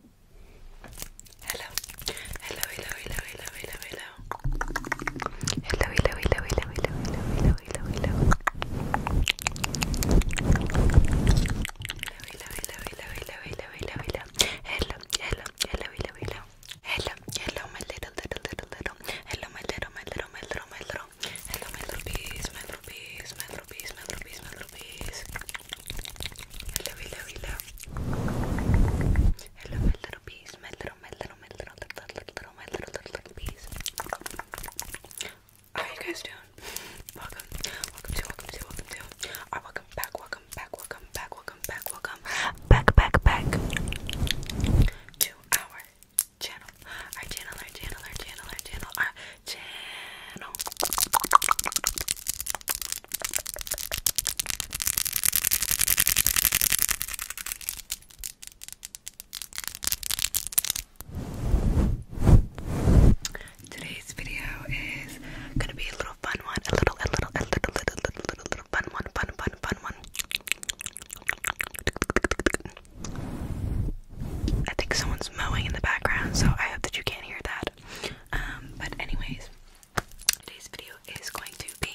Hello. Hello, hello, hello, hello, hello, hello. Hello, hello, hello, hello, hello, hello, hello, hello, hello. Hello, hello, hello, hello, hello, hello, hello, hello. Hello, hello, hello, hello, hello. Hello, hello, my little, little, little, little. Hello, my little, my little, my little, my little. Hello, my little bees, my little bees, my little bees, my little bees, my little Rubies. Hello, hello, hello. Hello, my little bees. My little, my little, my little, little, little, little, my little, little, little bees. How are you guys doing? Welcome, welcome to, welcome to, welcome to. All right, welcome back, welcome back, welcome back, welcome back, welcome back, back, back to our channel, our channel, our channel, our channel, our channel, our Today's video is gonna be a little fun one, a little, a little, a little, little, little, little, little fun one, fun, fun, fun one. I think someone's mowing in the background, so I hope that you can't hear that. Um, but anyways, today's video is going to be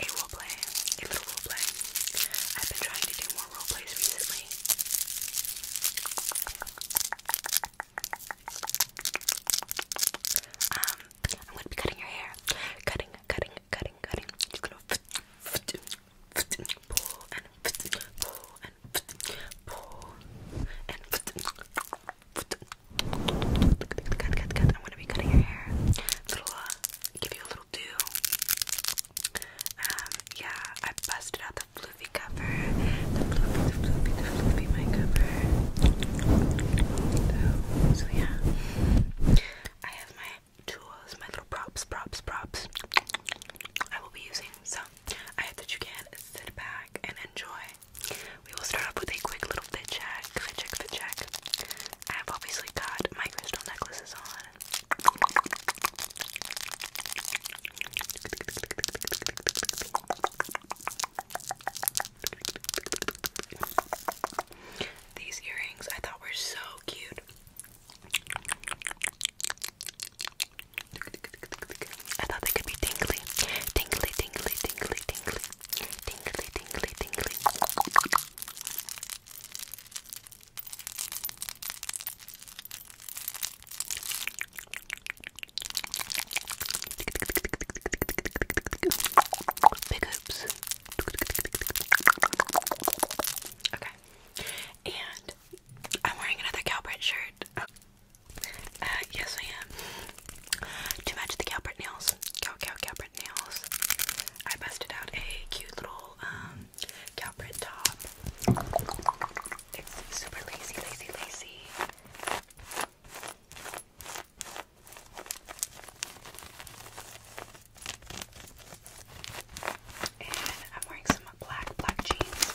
a role play, a little role play. I've been trying to do more role plays recently. Um, I'm gonna be cutting your hair, cutting, cutting, cutting, cutting and I'm gonna be cutting your hair. Uh, give you a little do. Um, yeah, I busted out the floofy cover. The floofy, the floofy, the floofy my cover. So, yeah, I have my tools, my little props, props, props. I will be using some I hope that you can sit back and enjoy. We will start off with a quick little fit check, fit check, fit check. I have obviously got my crystal necklaces on. These earrings I thought were so cute. I thought they could be tingly. Tingly, tingly, tingly, tingly. Tingly, tingly, tingly. Big oops. Okay. And I'm wearing another Calbert shirt. Uh, yes I am. To match the Calpert nails, Cal Cal Calpert nails, I busted out a cute little um, Calpert top. It's super lacy, lacy, lacy. And I'm wearing some black, black jeans.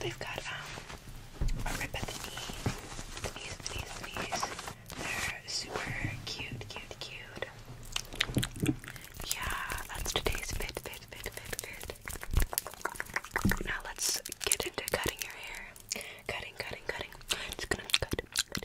They've got um, a rip at the knee. knees, knees, knees. They're super cute, cute, cute. Yeah, that's today's fit, fit, fit, fit, fit. Now let's get into cutting your hair. Cutting, cutting, cutting. Just gonna cut, cut,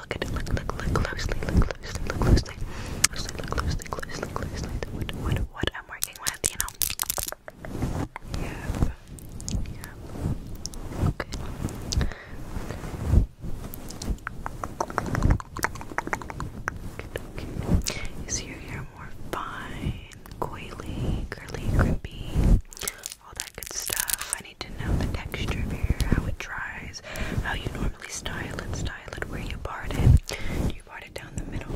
look at it. Look, look, look closely. Look closely. Look closely. Closely. Look closely. Closely. Closely. What, what, what I'm working with, you know. Yep. Yep. Okay. Okay. Good, okay. Is your hair more fine, coily, curly, grippy? all that good stuff. I need to know the texture of your hair, how it dries, how you normally style it, style it, where you part it. Do you part it down the middle?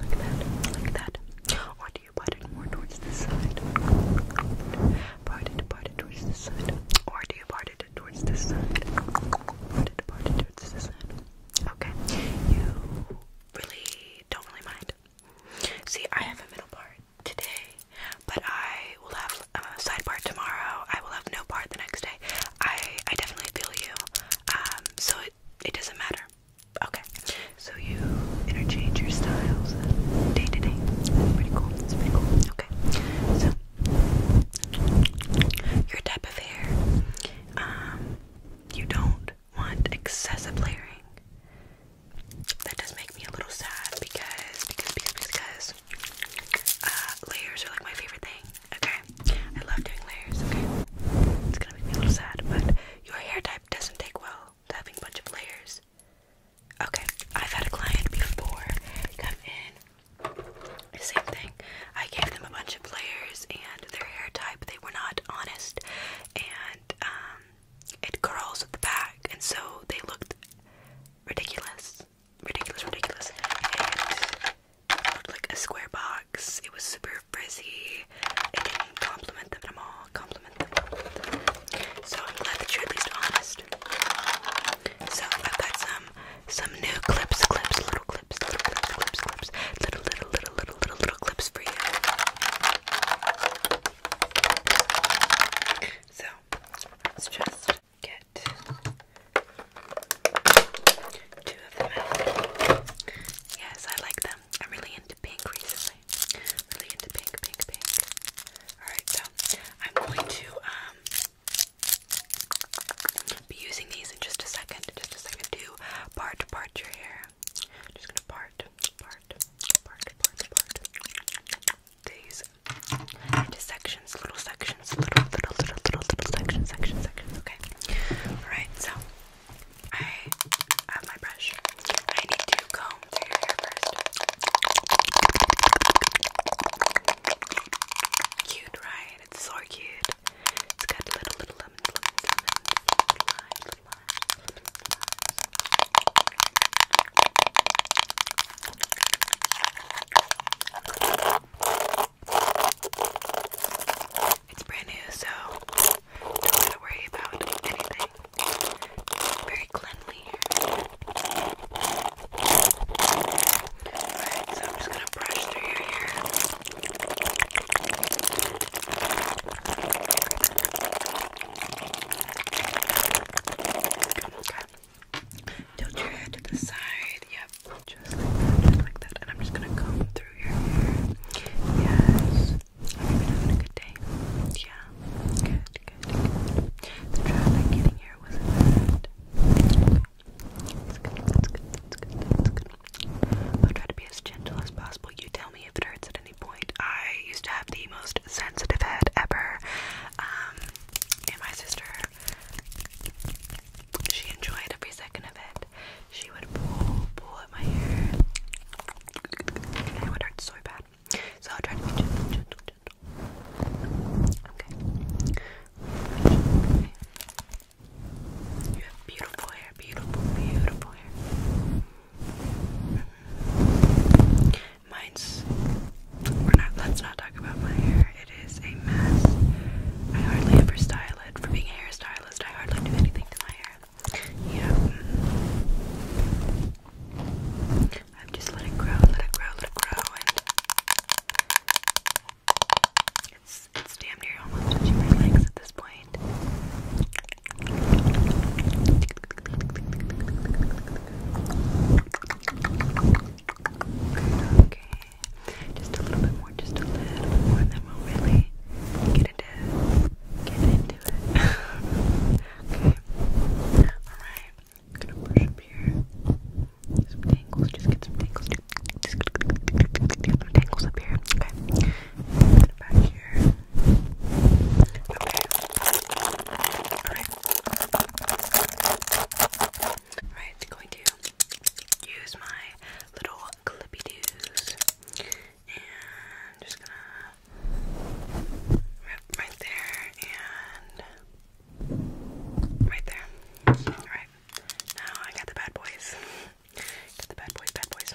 Like that, like that. Or do you part it more towards the side? Part it, towards the side. Or do you part it towards the side? Part it, towards the side. Okay. You really don't really mind. See, I have a middle part today, but I will have a side part tomorrow. I will have no part the next day. I I definitely feel you. Um, so it it doesn't matter. Okay. So you interchange your styles day to day. That's pretty cool. That's pretty cool. Okay. So your type of hair. Um, you don't want excessive layering that does make me a little sad because because because because uh, layers are like my favorite thing. Okay, I love doing layers. Okay, it's gonna make me a little sad, but your hair type doesn't take well to having a bunch of layers. Okay, I've had a client before come in. same thing. I gave them a bunch of layers and their hair type. They were not honest, and um, it curls at the back, and so they looked ridiculous, ridiculous, ridiculous. It looked like a square box. It was super frizzy. It didn't compliment them at all. Compliment them. So I'm glad that you're at least honest. So I've got some some new clips, clips, little clips, little clips, clips, clips, little, little, little, little, little clips for you. So let's just get two of them Yes, I like them. I'm really into pink recently. Really into pink, pink, pink. Alright, so I'm going to um, be using these in just a second, just a second to part part your hair just gonna part, part, part, part, part these into sections, little sections, little, little, little, little, little sections, sections, sections. Okay. All right. So I have my brush. I need to comb through your hair first. Cute, right? It's so cute. It's got little, little lemon, lemon, lemon, lemon, lemon, it's brand new, so don't gotta worry about anything. It's very cleanly here. Alright, so I'm just gonna brush through your hair. Tilt your head to the side. Yep. Just like that. And I'm just gonna comb through your hair. Yes. Have you been having a good day? Yeah. Good, good, It's good, it's good, it's good, it's good. I'll try to be as gentle as possible. You tell me it hurts at any point. I used to have the most sensitive head ever. Um, and my sister, she enjoyed every second of it. She would pull, pull at my hair. And it would hurt so bad. So I'll try to be gentle, gentle, gentle. okay. You have beautiful hair, beautiful, beautiful hair. Mine's. We're not. Let's not talk about my hair. It is a mess. I hardly ever style it. For being a hairstylist, I hardly do anything to my hair. Yeah. I've just let it grow, let it grow, let it grow, and it's it's damn near almost touching my legs at this point okay. Just a little bit more, just a little bit more, and then we get into get into it. okay. Alright. gonna brush up here. Some tangles, just get some tangles. Just get some tangles up here. Okay. back here. Alright. Alright, going to use my little clippy doos and just gonna rip right there and right there. Alright. Now I got the bad boys. Got the bad boys, bad boys.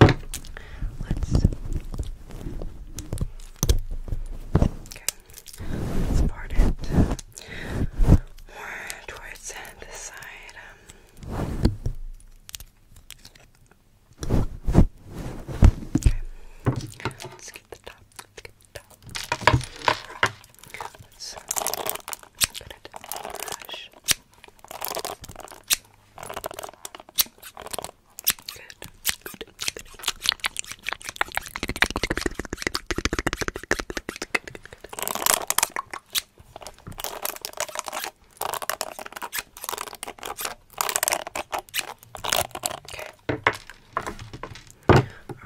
Let's okay. part it more towards this side. Okay. Let's get the top. Let's get the top. Let's put it brush. Good. Okay. All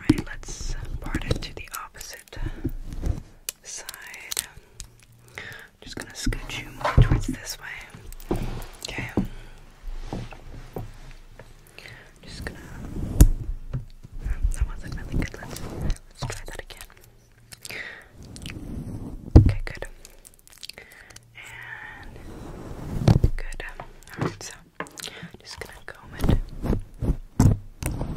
right, let's part it to the opposite side. I'm just gonna scoot you more towards this way. Okay. Just gonna. Oh, that wasn't really good. Let's try that again. Okay, good. And good. Alright, so just gonna comb it. Alright.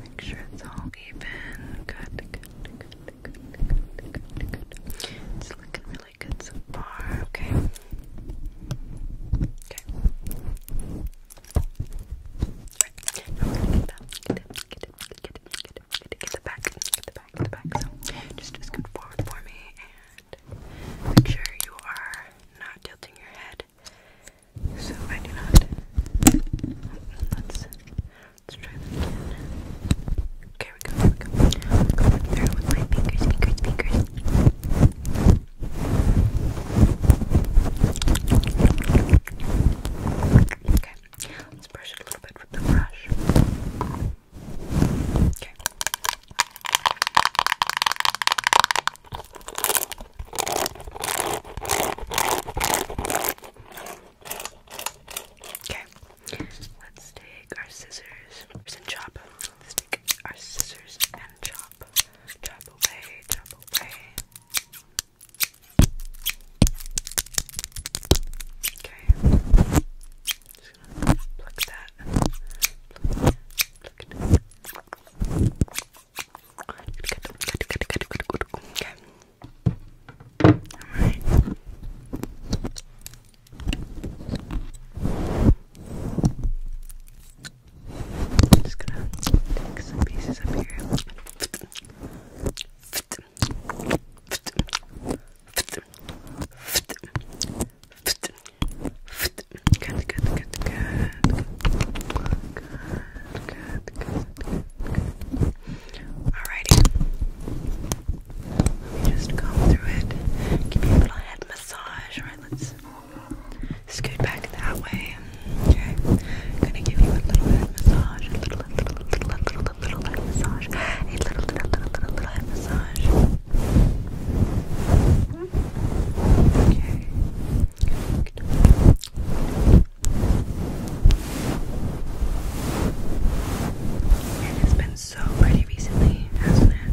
Make sure it's all even. Good, It's looking really good so far. Okay. Okay. get that. Get it, get it, get it, get it, get it, get the back, get the back, get the back. So just scoot forward for me and make sure you are not tilting your head so I do not. Let's let's try again. Okay, we go. We go. i through with my fingers, Okay, let's brush it a little bit with the brush. Okay. Okay, let's take our scissors and chop. let our scissors and chop. Chop away, chop away. Okay. Just gonna pluck that. Okay. Alright. I'm just gonna take some pieces up here. Good, good, good, good. Good, good, good, good. Alrighty. Let me just comb through it. Give you a little head massage. Alright, let's scoot back that way. Okay. I'm gonna give you a little head massage. A little, a little, a little, a little, a little head massage. A little, little, little, little, little head massage. Okay. it's been so pretty recently, hasn't it?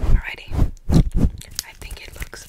Alrighty. I think it looks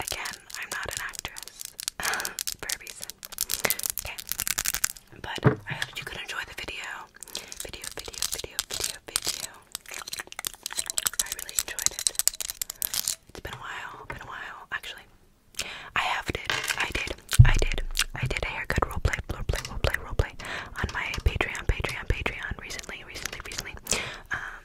Again, I'm not an actress for a reason. Okay, but I hope you could enjoy the video. Video, video, video, video, video. I really enjoyed it. It's been a while, been a while, actually. I have did, I did, I did, I did a good role play. Role play. Role play on my Patreon, Patreon, Patreon recently, recently, recently. Um,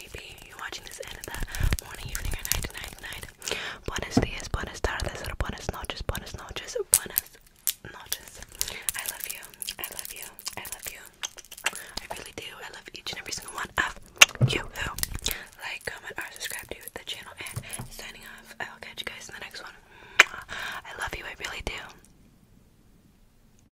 may be. You're watching this end of the morning, evening, or night, night, night. Buenos dias, buenas tardes, or buenas noches, buenas noches, buenas noches. I love you. I love you. I love you. I really do. I love each and every single one of you who like, comment, or subscribe to the channel. And signing off. I will catch you guys in the next one. I love you. I really do.